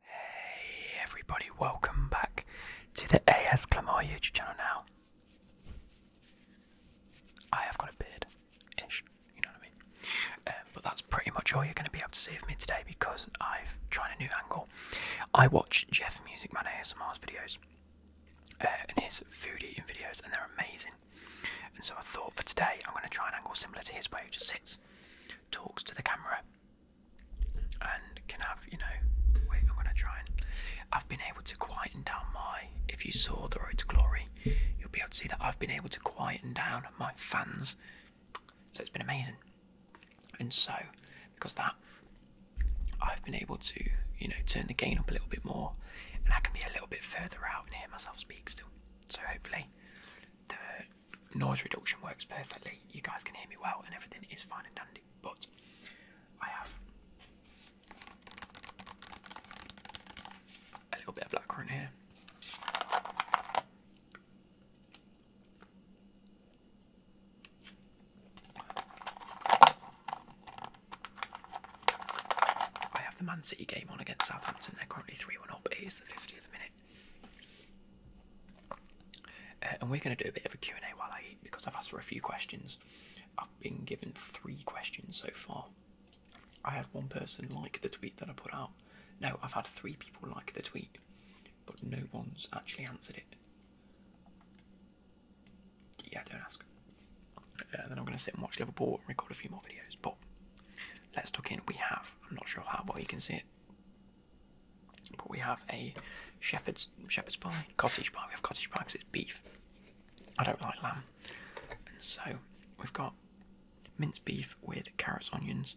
Hey everybody, welcome back to the AS YouTube channel now. I have got a beard, ish, you know what I mean? Um, but that's pretty much all you're going to be able to see of me today because I've tried a new angle. I watch Jeff Music Man ASMR's videos uh, and his food eating videos and they're amazing. And so I thought for today I'm going to try an angle similar to his where he just sits, talks to the camera and can have you know wait i'm gonna try and i've been able to quieten down my if you saw the road to glory you'll be able to see that i've been able to quieten down my fans so it's been amazing and so because that i've been able to you know turn the gain up a little bit more and i can be a little bit further out and hear myself speak still so hopefully the noise reduction works perfectly. You guys can hear me well, and everything is fine and dandy. But I have a little bit of blackcurrant here. I have the Man City game on against Southampton. They're currently 3 1 up. It is the 50th minute. Uh, and we're going to do a bit of a Q&A while I eat because I've asked for a few questions. I've been given three questions so far. I had one person like the tweet that I put out. No, I've had three people like the tweet, but no one's actually answered it. Yeah, don't ask. Uh, then I'm going to sit and watch Liverpool and record a few more videos. But let's talk in. We have, I'm not sure how well you can see it, but we have a shepherd's shepherd's pie, cottage pie. We have cottage pie because it's beef. I don't like lamb, and so we've got minced beef with carrots, onions,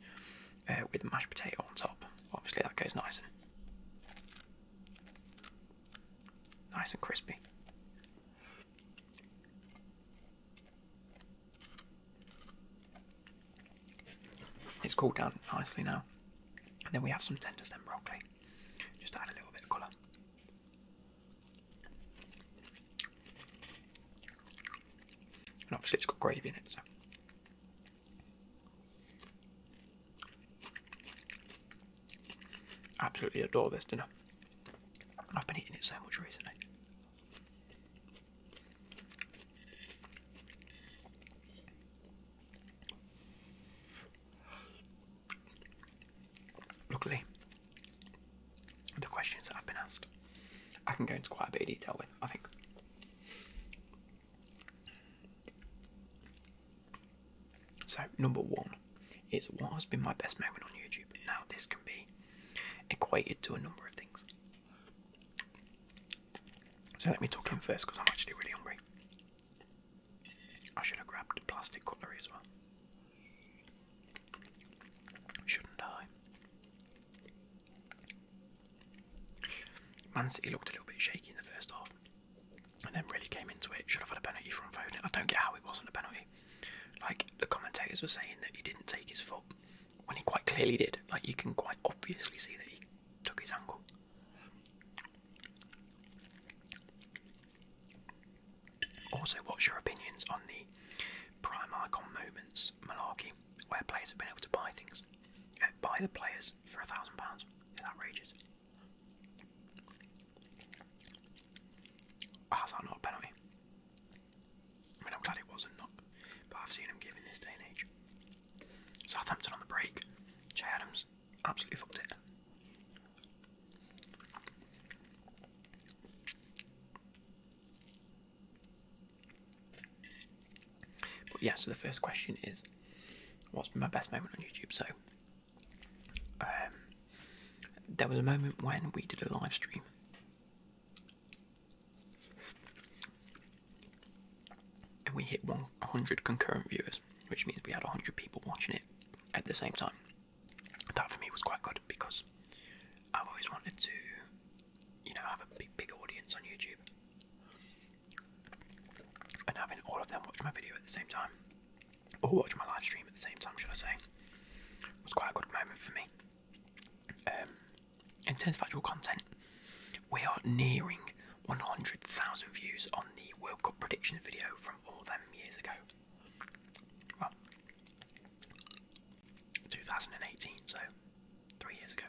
uh, with mashed potato on top. Obviously, that goes nice and nice and crispy. It's cooled down nicely now. And then we have some tender stem broccoli. Just add a little bit of colour. And obviously it's got gravy in it, so absolutely adore this dinner. I've been eating it so much recently. Luckily, the questions that I've been asked, I can go into quite a bit of detail with, I think. So, number one is what has been my best moment on YouTube? Now, this can be equated to a number of things. So let me talk in first because I'm actually really hungry. I should have grabbed plastic cutlery as well. Shouldn't I? Man City looked a little bit shaky in the first half and then really came into it. Should have had a penalty from Foden. I don't get how it wasn't a penalty. Like the commentators were saying that he didn't take his foot when he quite clearly did. Like you can quite obviously see that he took his angle. Also, what's your opinions on the prime icon moments malarkey, where players have been able to buy things, uh, buy the players for a thousand pounds? It's outrageous. How's ah, that not a penalty? I mean, I'm glad it wasn't, not, but I've seen him give in this day and age. Southampton on the break. Jay Adams absolutely fucked it. But yeah, so the first question is, what's my best moment on YouTube? So, um, there was a moment when we did a live stream and we hit 100 concurrent viewers, which means we had 100 people watching it at the same time. That for me was quite good because I've always wanted to, you know, have a big, big audience on YouTube. And having all of them watch my video at the same time, or watch my live stream at the same time, should I say, was quite a good moment for me. Um, in terms of actual content, we are nearing 100,000 views on the World Cup predictions video from all them years ago. Well, 2018, so three years ago.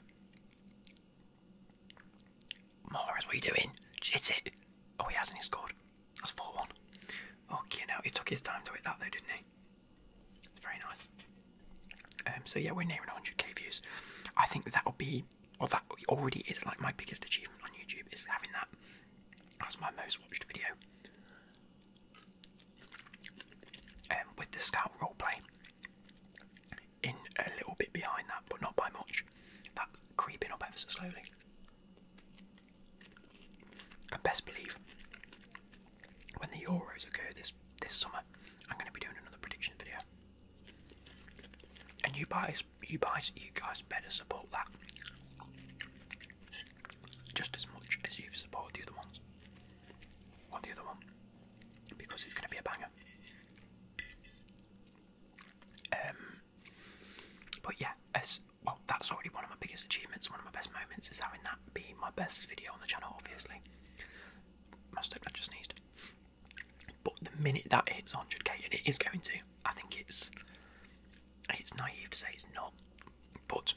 Morris, what are you doing? Hit it! Oh, he hasn't, scored. That's 4 1. Okay, oh, now he took his time to hit that though, didn't he? Very nice. Um, so yeah, we're nearing 100k views. I think that will be, or that already is like my biggest achievement on YouTube is having that as my most watched video. And um, with the scout roleplay in a little bit behind that, but not by much. That's creeping up ever so slowly. And best believe when the Euros occur this this summer, I'm going to be doing another prediction video. And you guys, you guys, you guys better support that just as much as you've supported the other ones, or the other one, because it's going to be a banger. Um, but yeah, as well, that's already one of my biggest achievements, one of my best moments is having that be my best video on the channel, obviously must have I just sneezed. But the minute that hits 100k, and it is going to, I think it's it's naive to say it's not. But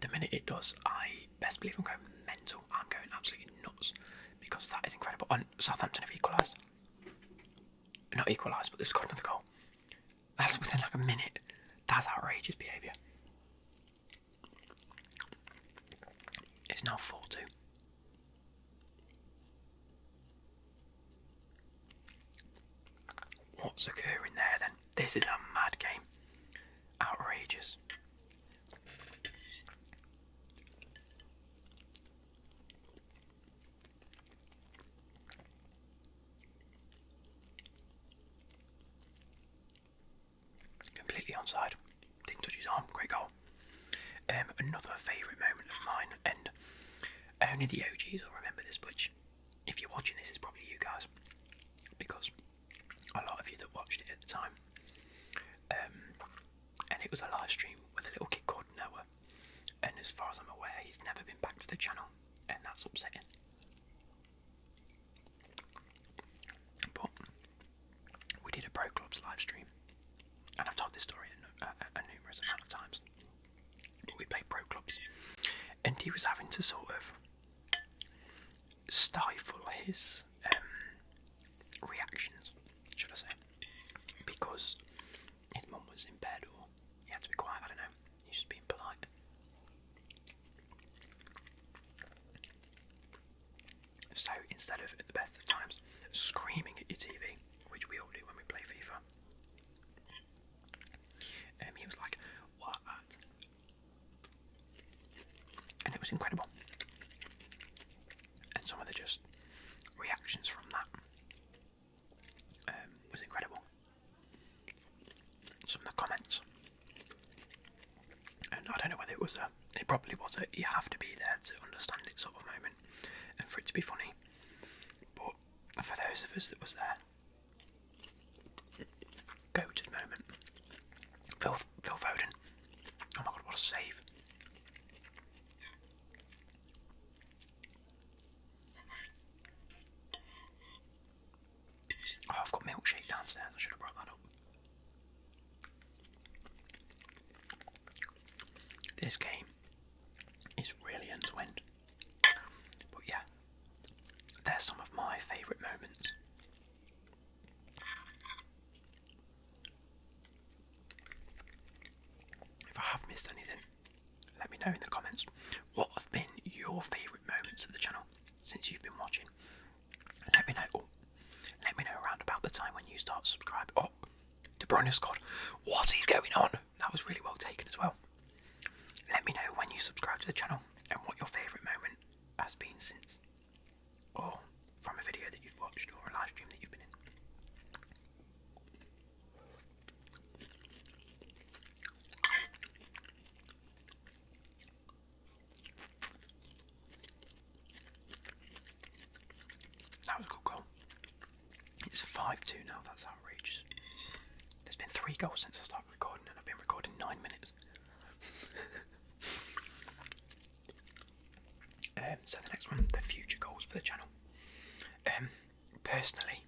the minute it does, I best believe I'm going mental. I'm going absolutely nuts because that is incredible. And Southampton have equalised. Not equalised, but they've scored another goal. That's within like a minute. That's outrageous behaviour. It's now 40. What's occurring there then? This is a mad game. Outrageous. Completely onside. Didn't touch his arm. Great goal. Um, another favourite moment of mine, and only the OGs will remember this, which, if you're watching this, it's probably you guys, because a lot of you that watched it at the time. Um, and it was a live stream with a little kid called Noah, and as far as I'm aware, he's never been back to the channel, and that's upsetting. But we did a Pro Clubs live stream, and I've told this story a, numerous amount of times. We played Pro Clubs, and he was having to sort of stifle his um, reactions, should I say, because his mom was in bed or he had to be quiet. I don't know. He should be polite. So instead of at the best of times screaming at your TV, which we all do when we play FIFA, um, he was like, "What?" and it was incredible. And some of the just reactions from that um, was incredible. Some of the comments and I don't know whether it was a, it probably was a you have to be there to understand it sort of moment and for it to be funny. But for those of us that was there, go goated moment. Phil, Phil Foden. Oh my god, what a save. Oh, I've got milkshake downstairs. I should have brought that up. This game is really end to But yeah, they're some of my favourite moments. If I have missed anything, let me know in the comments what have been your favourite moments of the channel since you've been watching. Let me know. Oh, let me know around about the time when you start subscribing. Oh, to Bruyne Scott, what is going on? That was really well taken as well. Let me know when you subscribe to the channel and what your favourite moment has been since, or from a video that you've watched or a live stream that you've been in. That was good goal. It's 5 2 now, that's outrageous. There's been three goals since I started recording, and I've been recording nine minutes. um, so, the next one the future goals for the channel. Um, personally,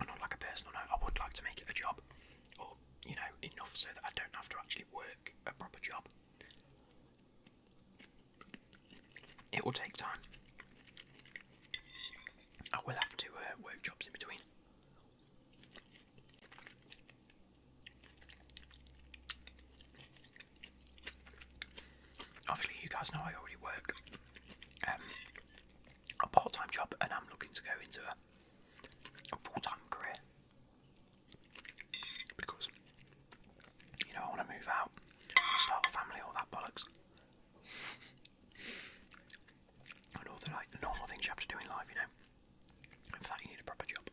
on like a personal note, I would like to make it a job you know, enough so that I don't have to actually work a proper job. It will take time. I will have to uh, work jobs in between. Obviously, you guys know I already work um, a part-time job, and I'm looking to go into full-time career because you know I want to move out, start a family, all that bollocks, and all the like normal things you have to do in life, you know. for that, you need a proper job.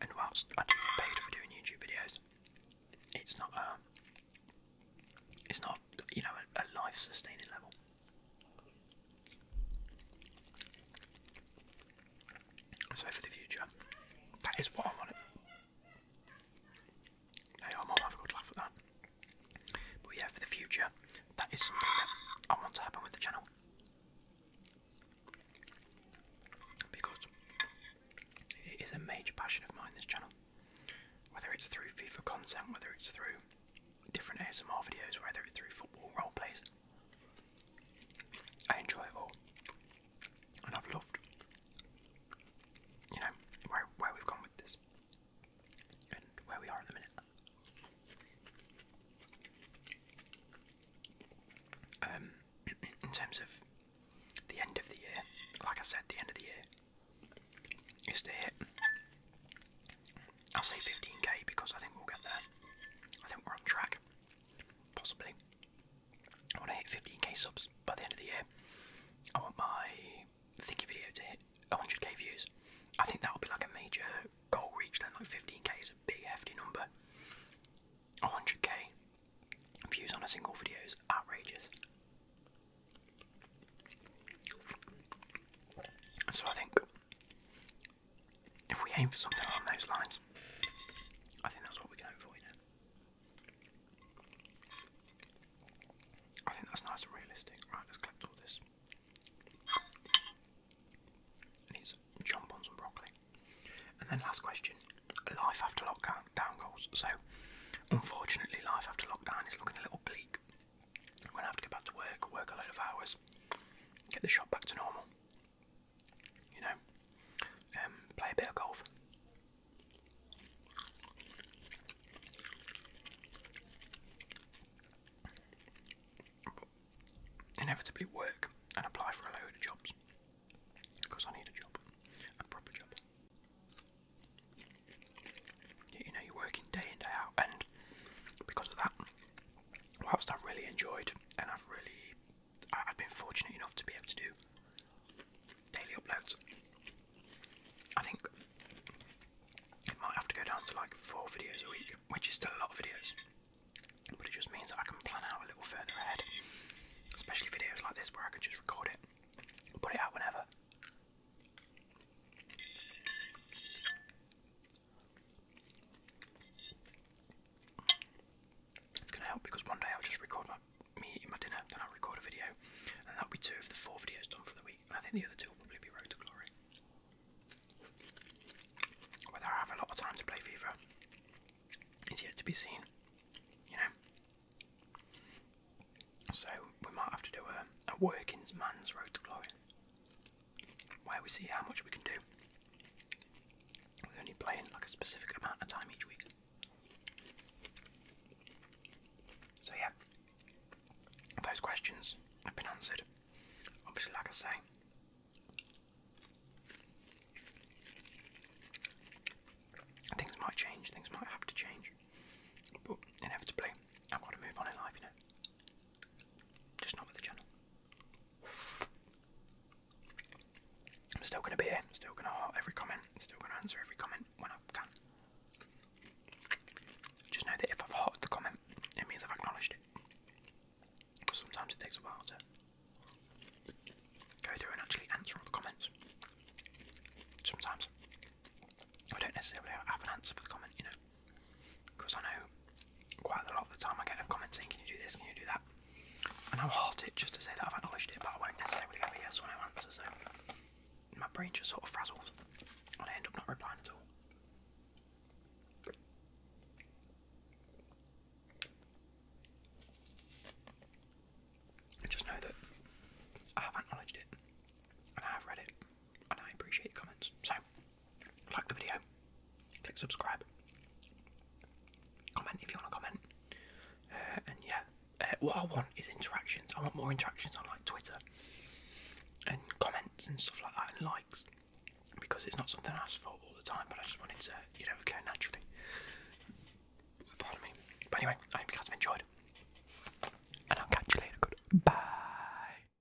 And whilst I do paid for doing YouTube videos, it's not um, it's not you know a life-sustaining level. So for the future, that is what I wanted. Hey, I might have a good laugh at that. But yeah, for the future, that is something that I want to happen with the channel. Because it is a major passion of mine, this channel. Whether it's through FIFA content, whether it's through different ASMR videos, whether it's through football role plays, I enjoy it all, and I've loved, you know, where we've gone with this, and where we are at the minute. Um, in terms of the end of the year, like I said, the end of the year is to I'll say 15k because I think we'll get there. I think we're on track. Possibly. I want to hit 15k subs by the end of the year. I want my thinking video to hit 100k views. I think that'll be like a major goal reached, and like 15k is a big hefty number. 100k views on a single video is outrageous. So I think if we aim for something along those lines, I think that's what we can avoid. I think that's nice and realistic. Right, let's collect all this. Let's jump on broccoli. And then last question, life after lockdown goals. So, unfortunately, life after lockdown is looking a little bleak. I'm gonna have to go back to work, work a load of hours, get the shop back to normal. You know, um, play a bit of golf. inevitably work and apply for a load of jobs because I need a job, a proper job. You know, you're working day in, day out, and because of that, what I have really enjoyed and I've really I've been fortunate enough to be able to do daily uploads. I think it might have to go down to like four videos a week, which is still a lot of videos. But it just means that I can plan out a little further ahead. Especially videos like this where I can just record it, put it out whenever. It's going to help because one day I'll just record my, me eating my dinner, then I'll record a video, and that'll be two of the four videos done for the week. I think the other two will probably be Road to Glory. Whether I have a lot of time to play FIFA is yet to be seen, you know. So we might have to do a, a working man's Road to Glory where we see how much we can do with only playing like a specific amount of time each week. So, yeah, those questions have been answered. Obviously, like I say, things might change, things might have to change, but inevitably, I've got to move on in life, you know. Just not with the channel. I'm still gonna be here, I'm still gonna heart every comment, I'm still gonna answer every comment when I can. Just know that if I've hearted the comment, it means I've acknowledged it. Because sometimes it takes a while to go through and actually answer the comments. Sometimes I don't necessarily have an answer for the comment, you know. Because I know quite a lot of the time I get a comment Can you do this? Can you do that? And I'll halt it just to say that I've acknowledged it, but I won't necessarily have yes or no answer, so my brain just sort of frazzles and I end up not replying at all. just know that I have acknowledged it and I have read it and I appreciate comments. So like the video, click subscribe, comment if you want to comment, uh, and yeah, uh, what I want is interactions. I want more interactions on like Twitter and comments and stuff like that and likes because it's not something I ask for all the time, but I just wanted to, you know, occur naturally. Pardon me. But anyway, I hope you guys have enjoyed. And I'll catch you later. Good. Bye.